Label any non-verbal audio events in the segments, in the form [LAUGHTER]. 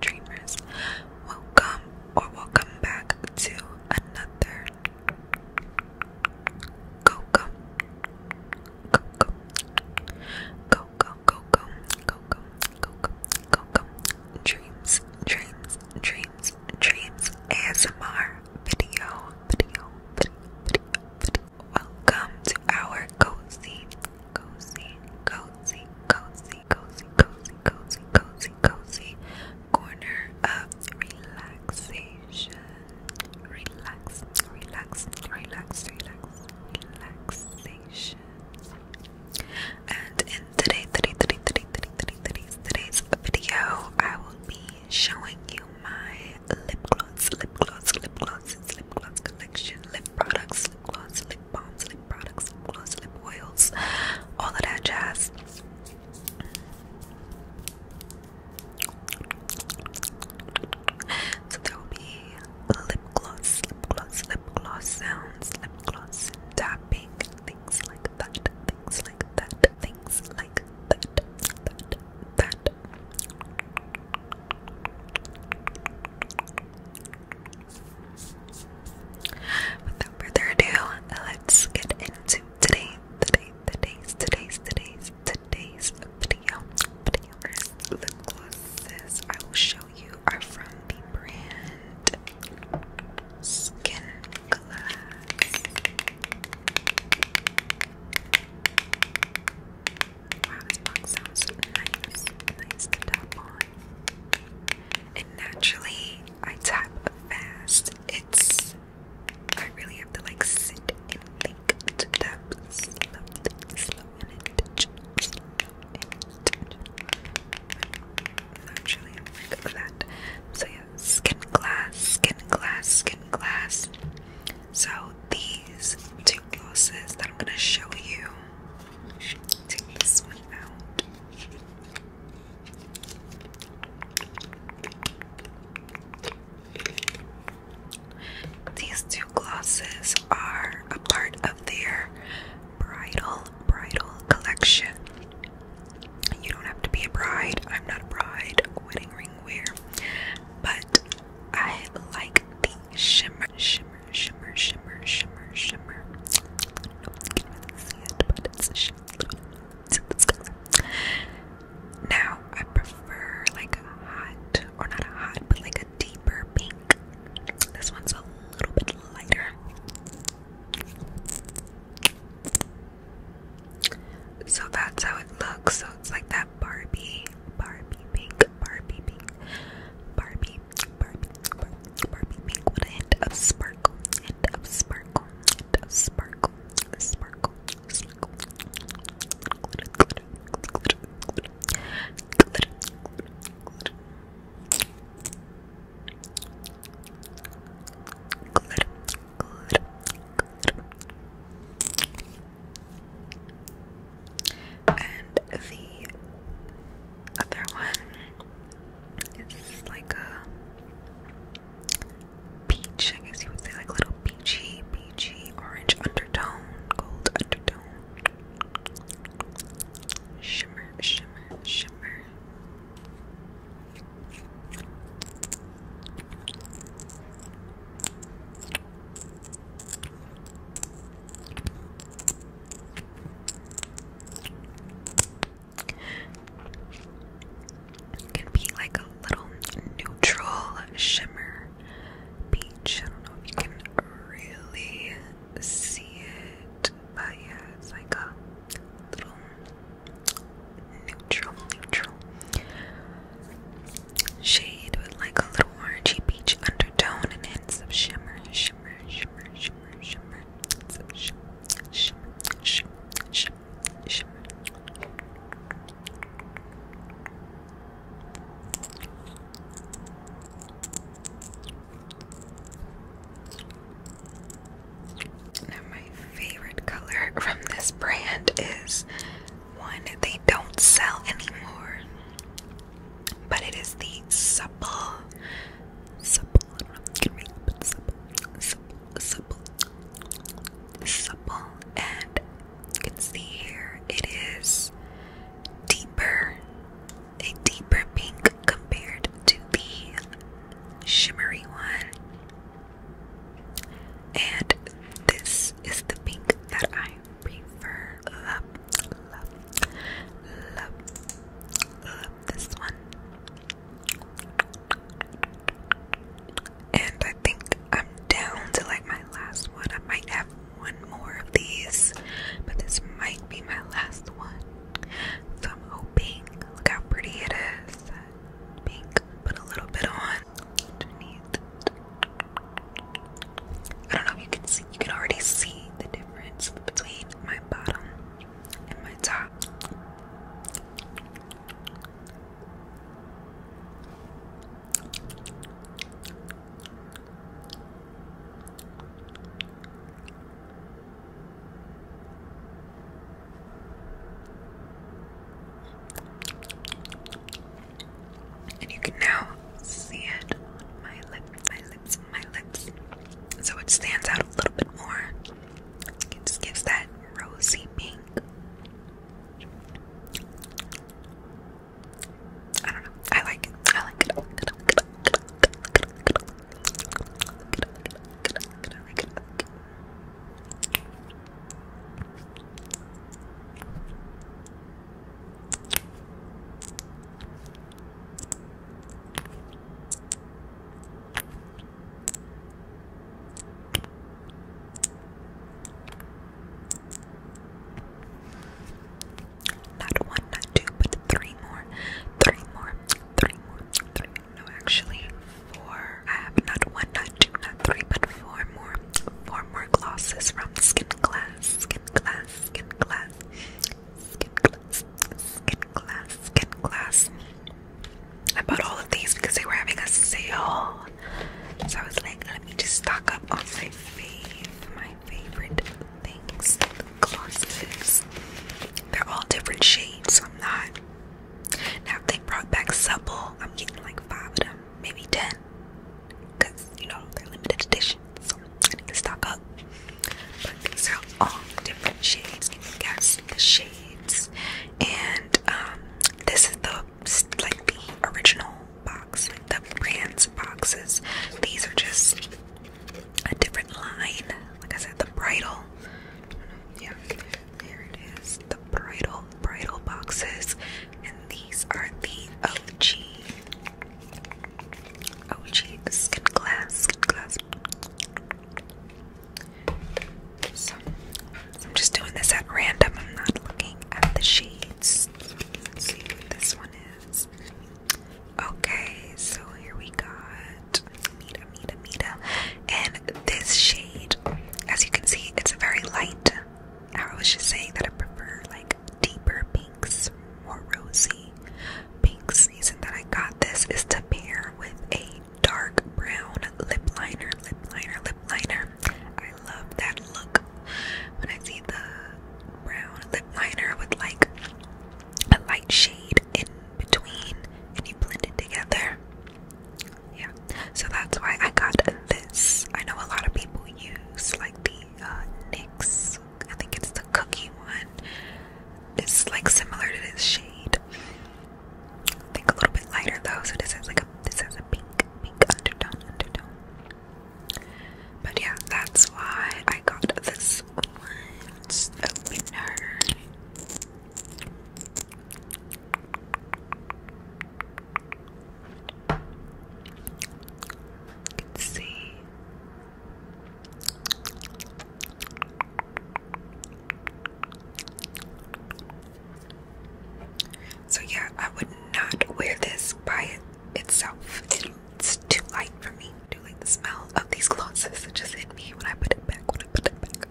dreamers, welcome or welcome back to another go go go go go go go go go go go go go go dreams, dreams, dreams, dreams ASMR video, video, video, video, video. Welcome to our cozy, cozy, cozy, cozy cozy, cozy, cozy, cozy, cozy, cozy corner of relaxation. Relax, relax, relax, relax, relaxation. And in today, today, today, today, today, today, today's, today's video, I will be showing you my lip gloss, lip gloss, lip glosses, lip gloss collection, lip products, lip gloss, lip balms, lip products, gloss, lip oils, all of that jazz. So there will be lip gloss, lip gloss, lip gloss sounds, lip gloss tapping, things like that, things like that, things like that, that, that. Without further ado, let's get into today, today, today's, today's, today's, today's video. lip glosses I will show you are from the brand Skin Glass. Wow, this box sounds nice, nice to tap and naturally I type fast. It's I really have to like sit and think to tap slow, slow and intentional, slow and intentional. Naturally, I'm like that. So yeah, skin glass, skin glass, skin glass. So these two glosses that I'm gonna show you Take this one out. These two glasses are a part of their bridal bridal collection. You don't have to be a bride. I'm not a bride. Wedding ring wear, but I like the shimmer shimmer, shimmer, shimmer, shimmer. Now I prefer like a hot, or not a hot, but like a deeper pink. This one's a little bit lighter. So that's how it looks. So it's like that Barbie, Barbie pink, Barbie pink, Barbie Barbie, Barbie, Barbie, Barbie with a hint of sparkle, hint of sparkle, hint of sparkle, sparkle, sparkle, glitter, glitter, glitter, glitter, glitter, glitter, glitter, glitter, glitter. And the other one is like a peach, I guess you would say, like a little peachy, peachy orange undertone, gold undertone, shimmer, shimmer, shimmer. It could be like a little neutral shimmer peach. I don't know if you can really see it, but yeah, it's like a little neutral, neutral shade with like a little orangey peach undertone and hints of shimmer, shimmer, shimmer, shimmer, my favorite color from this brand is one they don't sell anymore but it is the supple, supple, can read supple, supple, supple, supple, and you can see here it is deeper, a deeper pink compared to the shimmery one. And this is the pink that I prefer love, love, love, love this one. And I think I'm down to like my last one. I might have one more of these, but this might be my last one. So I'm hoping. Look how pretty it is. Pink. Put a little bit on underneath. I don't know if you can see, you can already see the difference between my bottom and my top. And you can now see it on my lip, my lips, so it stands out a little bit more. It just gives that rosy pink. I don't know. I like it. I like it. Not one, not two, but three more. Three more. Three more. No, actually, four. I have not one, not two, not three, but four more. Four more glosses from Skin Glass. Skin Glass. Skin Glass skin glass, skin glass, skin glass. I bought all of these because they were having a sale. So I was like, let me just stock up on my fave, my favorite things, glosses. They're all different shades, so I'm not. Now they brought back supple, I'm getting like five of them, maybe ten because you know they're limited editions, so I need to stock up. But these are all different shades. Can guess the shades? And um, this is the like the original box, like the brands boxes. These are just a different line. Like I said, the bridal. Yeah, there it is. The bridal bridal boxes, and these are the OG Oh OG skin glass, skin glass. So, I'm just doing this at random. I'm not looking at the shades. Let's see what this one is. Okay, so here we got Mita, Mita, Mita. And this shade, as you can see, it's a very light. I was just saying that I prefer like deeper pink pinks or rosy. Pink's reason that I got this is to pair with a dark brown lip liner, lip liner, lip liner. I love that look. When I see the brown lip liner with like a light shade in between and you blend it together. Yeah, so that's why I got this. I know a lot of people use like the uh, NYX I think it's the cookie one. It's like similar to this shade. I think a little bit lighter though, so this has like a this has a pink pink undertone undertone. But yeah, that's why I got this one. It's you can see so yeah I would not wear this by itself it's too light for me I do the smell of these glosses just hit me when I put it back when I put it back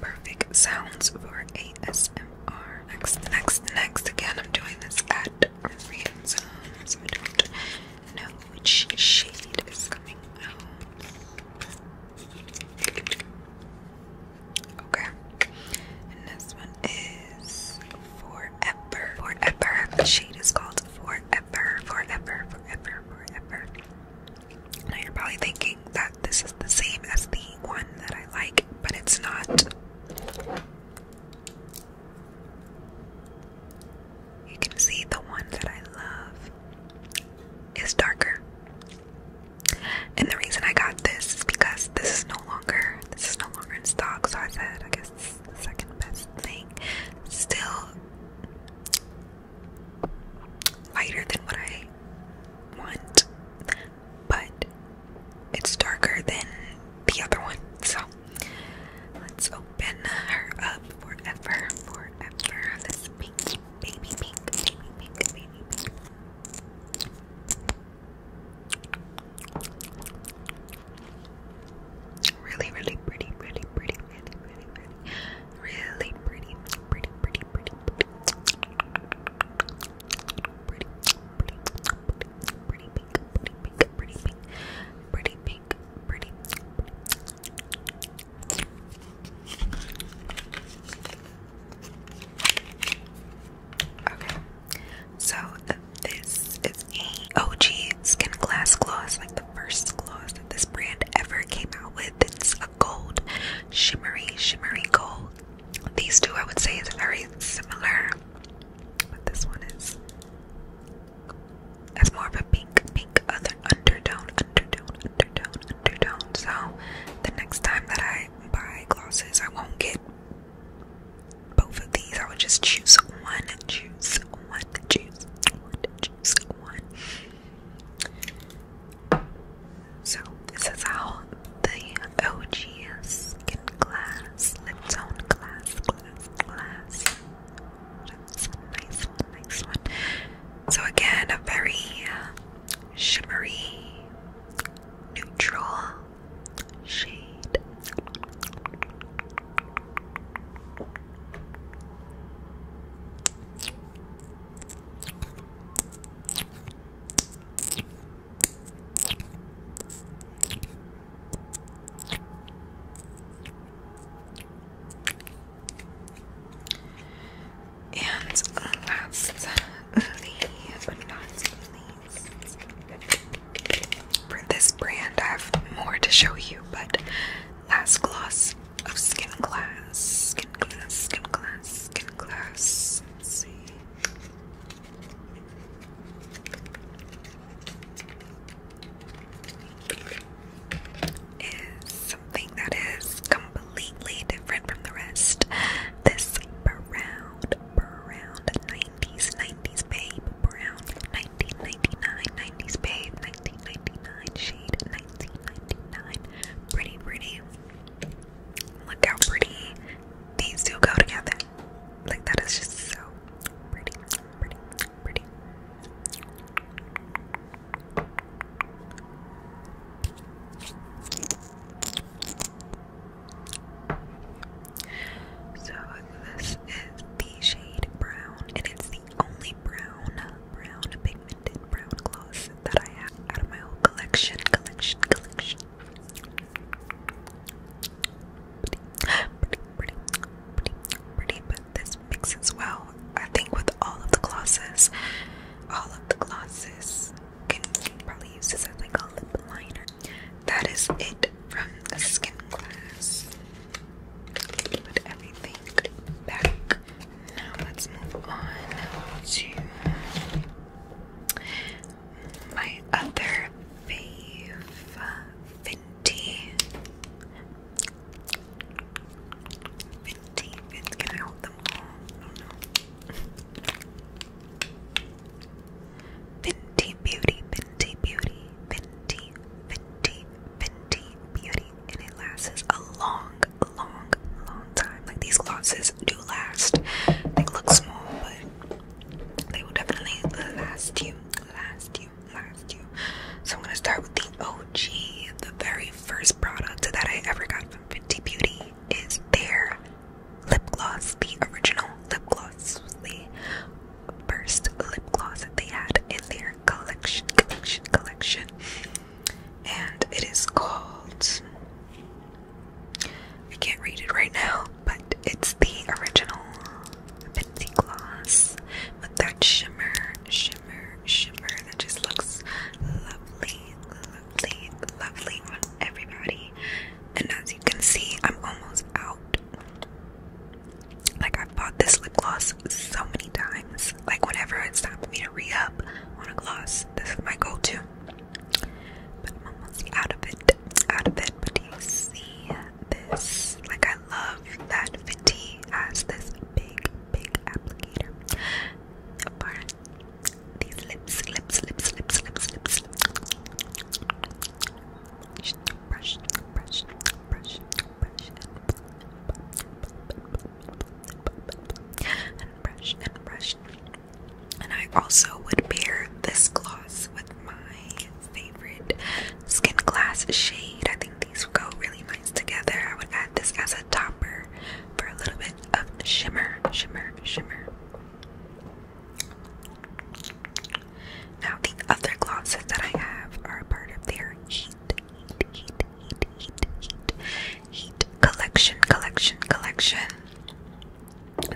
Perfect sounds for ASMR. Next, next, next. Again, I'm doing this at random, so I don't know which shade is coming out. Okay. And this one is Forever. Forever. The shade is called Forever. Forever. Forever. Forever you're probably thinking that this is the same as the one that I like, but it's not. You can see the one that I love is darker. And the reason I got this is because this is no longer this is no longer in stock, so I said I guess this the second best thing. Still lighter than what I want, but it's darker than the other one. So let's open her up forever, forever. This pink, baby pink, baby pink, baby pink. Really, really pretty, pretty, pretty, really, really, really, really pretty, pretty, pretty, pretty, pretty, pretty, pretty, pretty, pretty, pink, pretty pink, pretty pink, pretty pink, pretty. Okay, so this is a OG Skin Glass Gloss, like the first gloss that this brand ever came out with. It's gold, shimmery, shimmery gold. These two I would say is very similar, but this one is has more of a pink, pink other undertone, undertone, undertone, undertone. So the next time that I buy glosses, I won't get both of these. I would just choose one, choose one, choose one, choose one. So, this is how the OG skin glass, lip tone glass, glass, glass. That's a nice one, nice one. So, again, a very uh, shimmery, neutral shade. And lastly, [LAUGHS] but not least, for this brand, I have more to show you, but last gloss of oh, skin glass, skin glass, skin glass, skin glass. Let's see. Is something that is completely different from the rest. This brown, brown 90s, 90s babe, brown 1999, 90s babe, 1999 shade, 1999, pretty, pretty. Look how pretty these two go together. Like that is just so pretty, pretty, pretty. So this is the shade brown, and it's the only brown, brown, big minted brown gloss that I have out of my whole collection, collection, collection. Pretty, pretty, pretty, pretty, but this mixes well. I think with all of the glosses, all of the glosses can probably use this as like a lip liner. That is it from the skin Class. Put everything back now let's move on to my other fave, Fenty. Fenty, Fenty. Can I hold them all? I oh, don't know. Fenty Beauty, Fenty Beauty, Fenty, Fenty, Fenty Beauty, and it lasts a long, long, long time. Like these glosses do last. They look small, but they will definitely last you, last you, last you. So I'm gonna start with the OG. The very first product that I ever got from Fifty Beauty is their lip gloss, the original lip gloss, the first lip gloss that they had in their collection, collection, collection and it is called I can't read it right now, but it's the original Pixie Gloss with that shimmer, shimmer, shimmer that just looks lovely, lovely, lovely on everybody. And as you can see, I'm almost out. Like, I've bought this lip gloss so many times. Like whenever it's time for me to re up on a gloss, this is my go to. But I'm almost out of it. Out of it. But you see this? Like I love that Fenty has this big, big applicator. Apart these lips, lips, lips, lips, lips, lips. brush, brush, brush. brush and brush and brush. And I also would pair this gloss with my favorite skin glass shade. I think these would go really nice together. I would add this as a topper for a little bit of shimmer, shimmer, shimmer. Now, the other glosses that I have are a part of their Heat heat, heat, heat, heat, heat. Collection, collection, collection.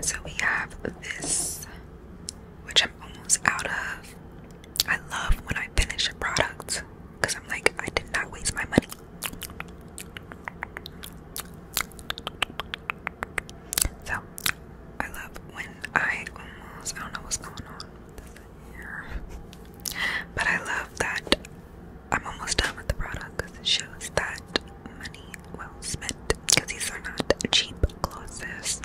So we have this, which I'm almost out of. I love when I finish a product because I'm like, I did not waste my money. So I love when I almost, I don't know what's going on here, but I love that I'm almost done with the product because it shows that money well spent because these are not cheap glosses.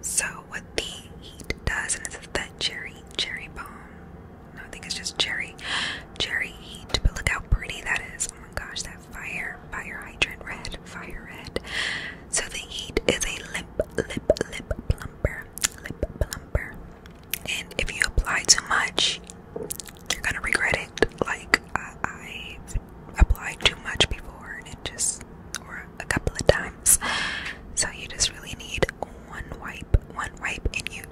So what the heat does, and it's that cherry cherry balm. I think it's just cherry cherry heat. But look how pretty that is. Oh my gosh, that fire fire hydrant red fire red. So the heat is a lip lip lip plump lip plumper. And if you apply too much, you're gonna regret it. Like I, applied too much before, and it just a couple of times. So you just really need one wipe, one wipe, and you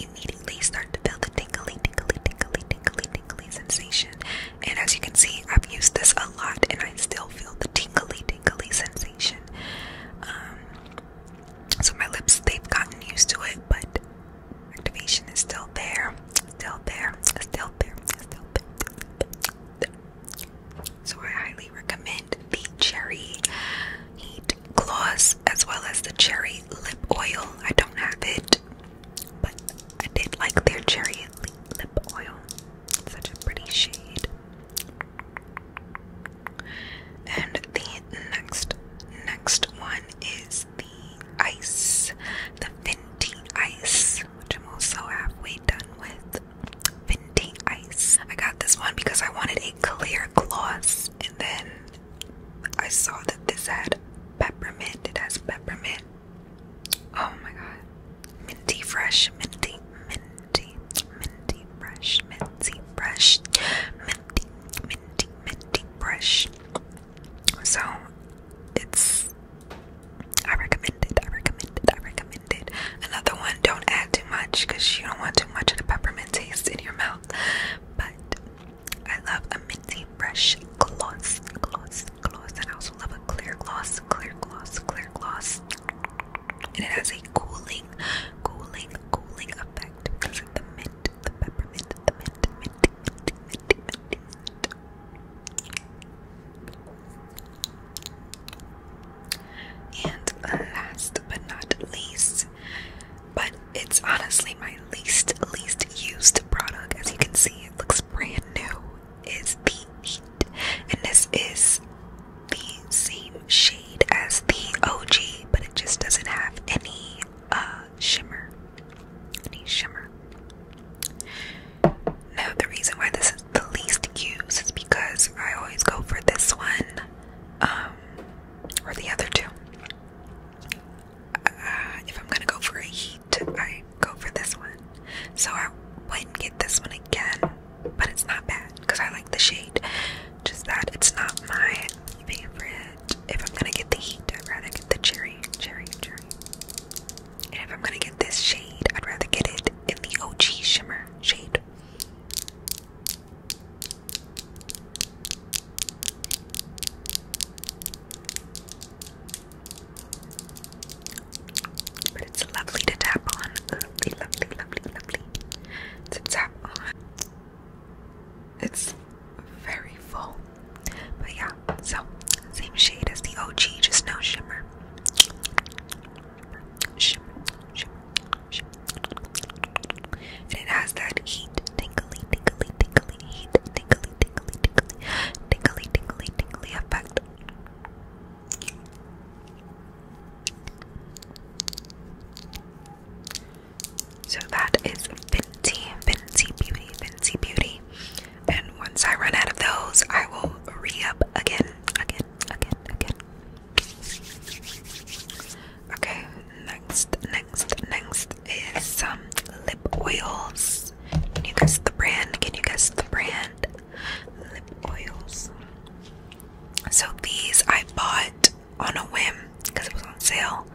immediately start to feel the tingly, tingly, tingly, tingly, tingly sensation. And as you can see, I've used this a lot, and I still feel the tingly, tingly sensation. Um, so my lips, they've gotten used to it, but activation is still there, still there, still there, still there. So I highly recommend the Cherry Heat Gloss as well as the Cherry Lip Oil. I don't have it, but I did like their Cherry Lip Oil. Such a pretty shade. And the next next one is the ice, the minty Ice, which I'm also halfway done with. Minty Ice. I got this one because I wanted a clear gloss, and then I saw that this had peppermint. It has peppermint. Oh my god. Minty fresh, minty, minty minty, minty brush, minty brush, minty, minty, minty brush. So it's I recommend it, I recommend it, I recommend it. Another one, don't add too much because you don't want too much of the peppermint taste in your mouth. But I love a minty brush gloss, gloss, gloss, and I'll love a clear gloss, clear gloss, clear gloss. And it has a cooling, cooling, cooling effect because of the mint, the peppermint, the mint. And last but not least, but it's honestly my least, least used product. As you can see, it looks brand new is the heat, and this is the same shade as the OG, but it just doesn't have any uh, shimmer. Any shimmer. Now, the reason why this is the least used is because I always go for this one um, or the other two. Uh, if I'm gonna go for a heat, I go for this one. So I wouldn't get this one again but it's not bad because I like the shade. Just that it's not my favorite. If I'm gonna get the heat, I'd rather get the cherry, cherry, cherry. And if I'm gonna get this shade, I'd rather get it in the OG shimmer shade. But it's lovely to tap on. Lovely, lovely, lovely, lovely. To tap on. It's very full. But yeah, so same shade as the OG, just no shimmer. Shimmer, shimmer, shimmer. And it has that heat, tingly, tingly, tingly, heat, tingly, tingly, tingly, tingly, tingly, tingly effect. So that is Fenty, Fenty Beauty, Fenty Beauty. And once I run out of those, I will re up again, again, again, again. Okay, next, next, next is some lip oils. Can you guess the brand? Can you guess the brand? lip oils. So these I bought on a whim because it was on sale.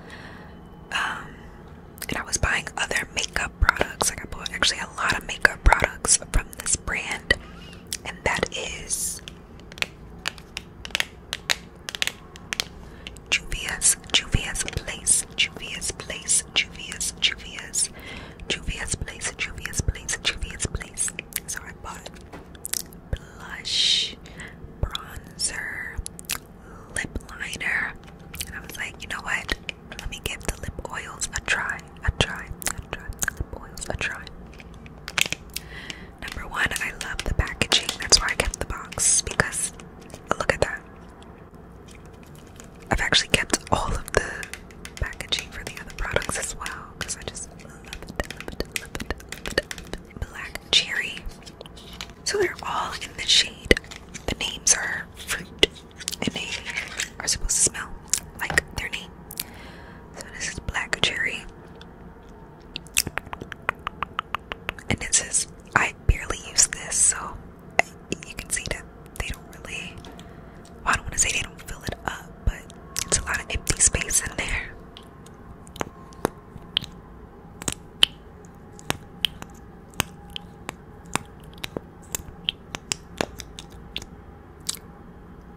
Um, and I was buying other makeup products. Like I bought actually a lot of makeup products from this brand, and that is Juvia's, Juvia's Place, Juvia's Place, Juvia's, Juvia's. Juvius Place, Juvius Place, Juvius Place. So I bought blush, bronzer, lip liner, and I was like, you know what? Let me give the lip oils a try, a try, a try, lip oils a try. Number one, I love the packaging. That's why I kept the box because look at that. I've actually kept all of the packaging for the other products as well because I just love it, Black cherry. So they're all in the shade. The names are fruit, and they are supposed to smell like their name. So this is black cherry, and it says I barely use this, so you can see that they don't really I don't want to say they don't fill it up, but it's a lot of empty space in there.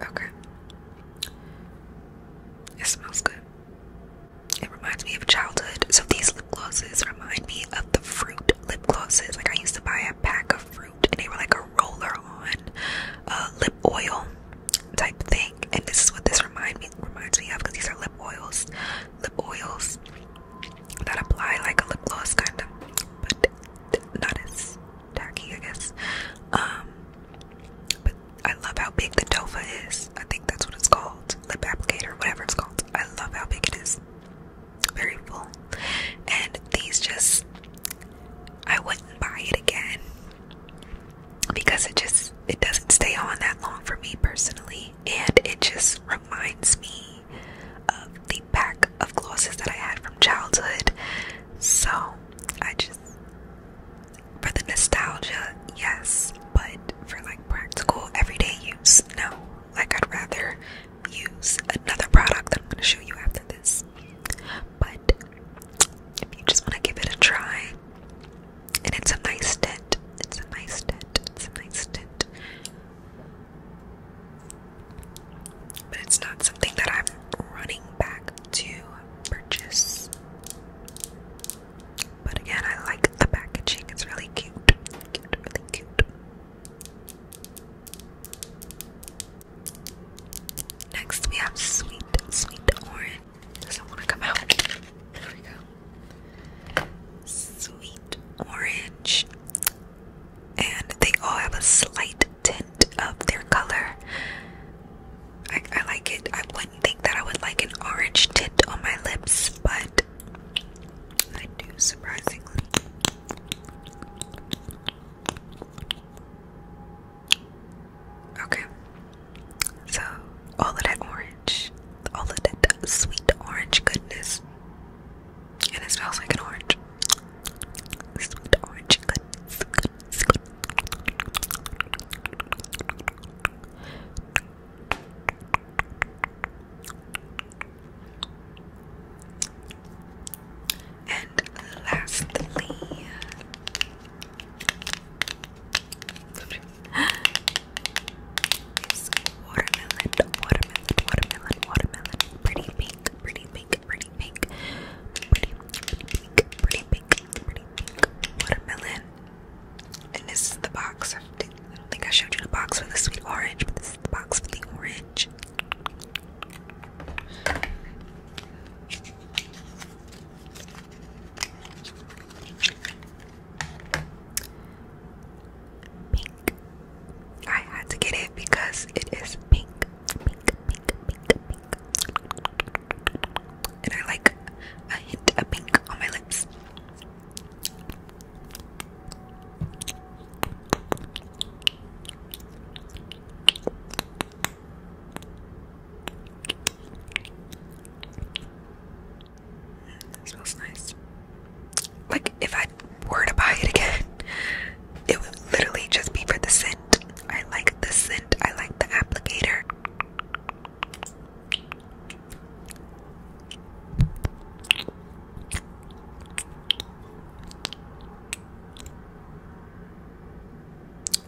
Okay. It smells good. It reminds me of childhood. So these lip glosses remind me of the fruit lip glosses. Like I used to buy pack of fruit and they were like a roller on uh, lip oil type thing and this is what this remind me reminds me of because these are lip oils lip oils that apply like a lip gloss kind of but not as tacky I guess um, but I love how big the tofa is I think that's what it's called lip applicator whatever it's called I love how big it is very full. And these just, I wouldn't buy it again because it just, it doesn't stay on that long for me personally. And it just reminds me of the pack of glosses that I had from childhood. So I just, for the nostalgia, yes, but for like practical everyday use, no. Like, I'd rather use another product that I'm going to show you after this. But if you just want to give it a try, and it's a nice tint, it's a nice tint, it's a nice tint. But it's not something that I'm running back to purchase. But again, I like the packaging, it's really cute. Cute, really cute. Next, we have sweet, sweet orange. Doesn't want to come out. There we go. Sweet orange. And they all have a slight tint of their color. I like it. I wouldn't think that I would like an orange tint on my lips, but I do surprisingly. Okay. So all that orange, all that sweet orange goodness, and it smells like an orange. Sweet orange goodness. And lastly, is watermelon, watermelon, watermelon, watermelon. Pretty pink, pretty pink, pretty pink, pretty, pretty pink, pretty pink, pretty pink watermelon. And this is the box. I don't think I showed you the box for the sweet orange, but this is the box for the orange. Pink. I had to get it because it is pink. Pink, pink, pink, pink. And I like a hint of pink on my lips. That smells nice. Like, if I were to buy it again, it would literally just be for the scent. I like the scent, I like the applicator.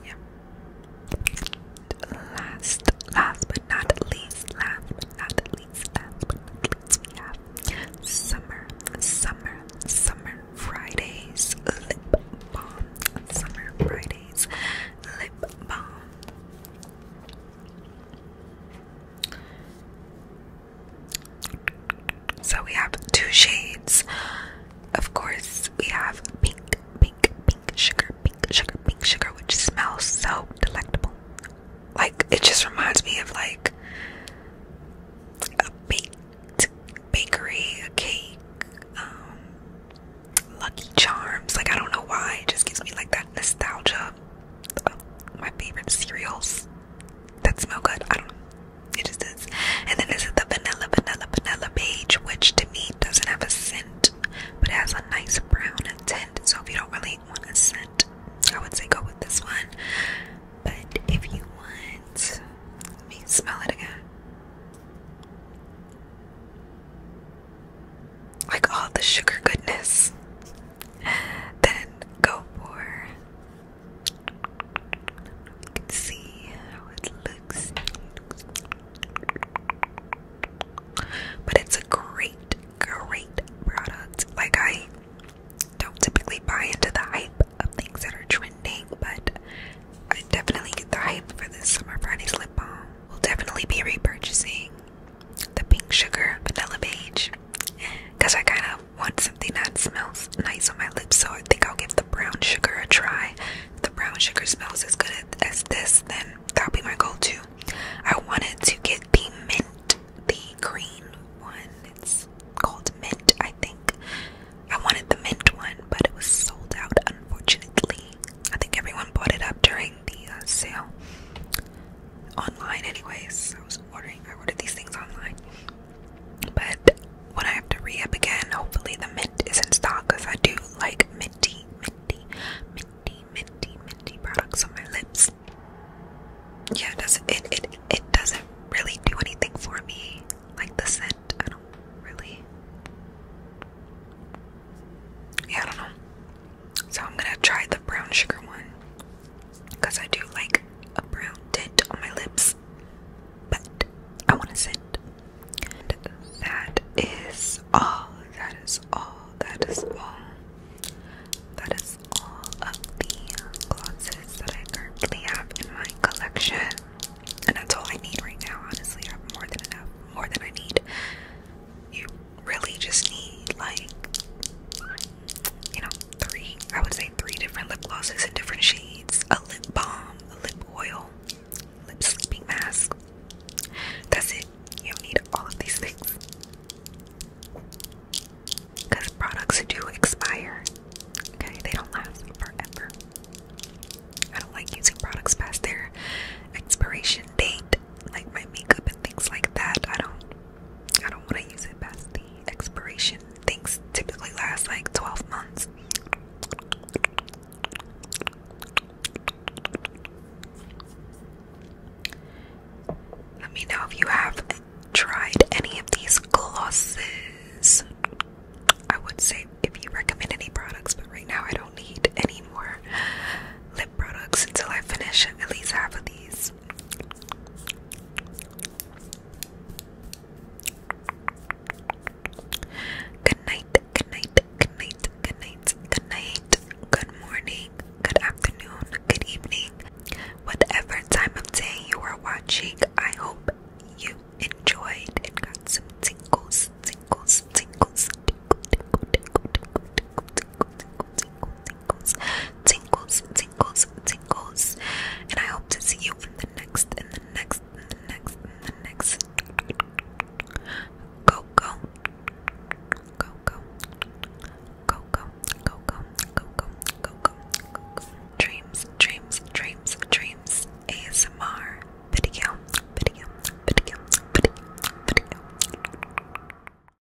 Yeah. Last, last but not least, last but not least, last but not least, we have summer, summer, summer Fridays lip balm. Summer Fridays lip balm. So we have two shades. Of course, we have pink, pink, pink sugar, pink sugar, pink sugar, which smells so delectable. Like it just reminds me of like a baked bakery, a cake, um, Lucky Charms. Like I don't know why, it just gives me like that nostalgia my favorite cereals that smell good. I don't know. It just is. And then this is the vanilla, vanilla, vanilla beige, which to me doesn't have a scent, but has a nice brown tint. So if you don't really want a scent, I would say go with this one. But if you want, let me smell it again. Like all the sugar goodness, then go for you can see how it looks. But it's a great, great product. Like, I don't typically buy into the hype of things that are trending, but I definitely get the hype for this Summer Fridays lip balm. We'll definitely be repurchasing the Pink Sugar Vanilla Beige because I kind of want something that smells nice on my lips, so I think I'll give the brown sugar a try. the brown sugar smells as good as this, then that'll be my go-to. I wanted to get the mint, the green one. It's called mint, I think. I wanted the mint one, but it was sold out, unfortunately. I think everyone bought it up during the uh, sale online, anyways. I was ordering. I ordered these things online. But when I have to re up again, hopefully the mint is in stock because I do like minty, minty, minty, minty, minty products on my lips. Yeah, it doesn't it it it doesn't really do anything for me. Like the scent, I don't really. Yeah, I don't know. So I'm gonna try the brown sugar one because I do like a brown tint on my lips, but I want to scent. that is all. That is all. That is all. That is all of the glosses that I currently have in my collection. And that's all I need right now, honestly. I have more than enough, more than I need. You really just need like you know three I would say three different lip glosses and different shades, a lip balm, a lip oil, lip sleeping mask. That's it. You don't need all of these things. Because products do expire. Okay, they don't last forever. I don't like using products past their expiration date, like my makeup and things like that. I don't I don't want to use it past the expiration. Things typically last like 12 months. Let me know if you have tried any of these glosses. I would say if you recommend any products, but right now I don't need any more lip products until I finish at least half of these. Good night, good night, good night, good night, good night, good morning, good afternoon, good evening. Whatever time of day you are watching, I hope you enjoyed and got some tingles, tingles, tingles, tingles, tingle, tingle, tingle, tingles, tingles, tingles, tingles. And I hope to see you in the next, in the next, in the next, in the next. Go, go, go, go, go, go, go, go, go, go, go, go, go. Dreams, dreams, dreams, dreams. ASMR video, video, video, video, video.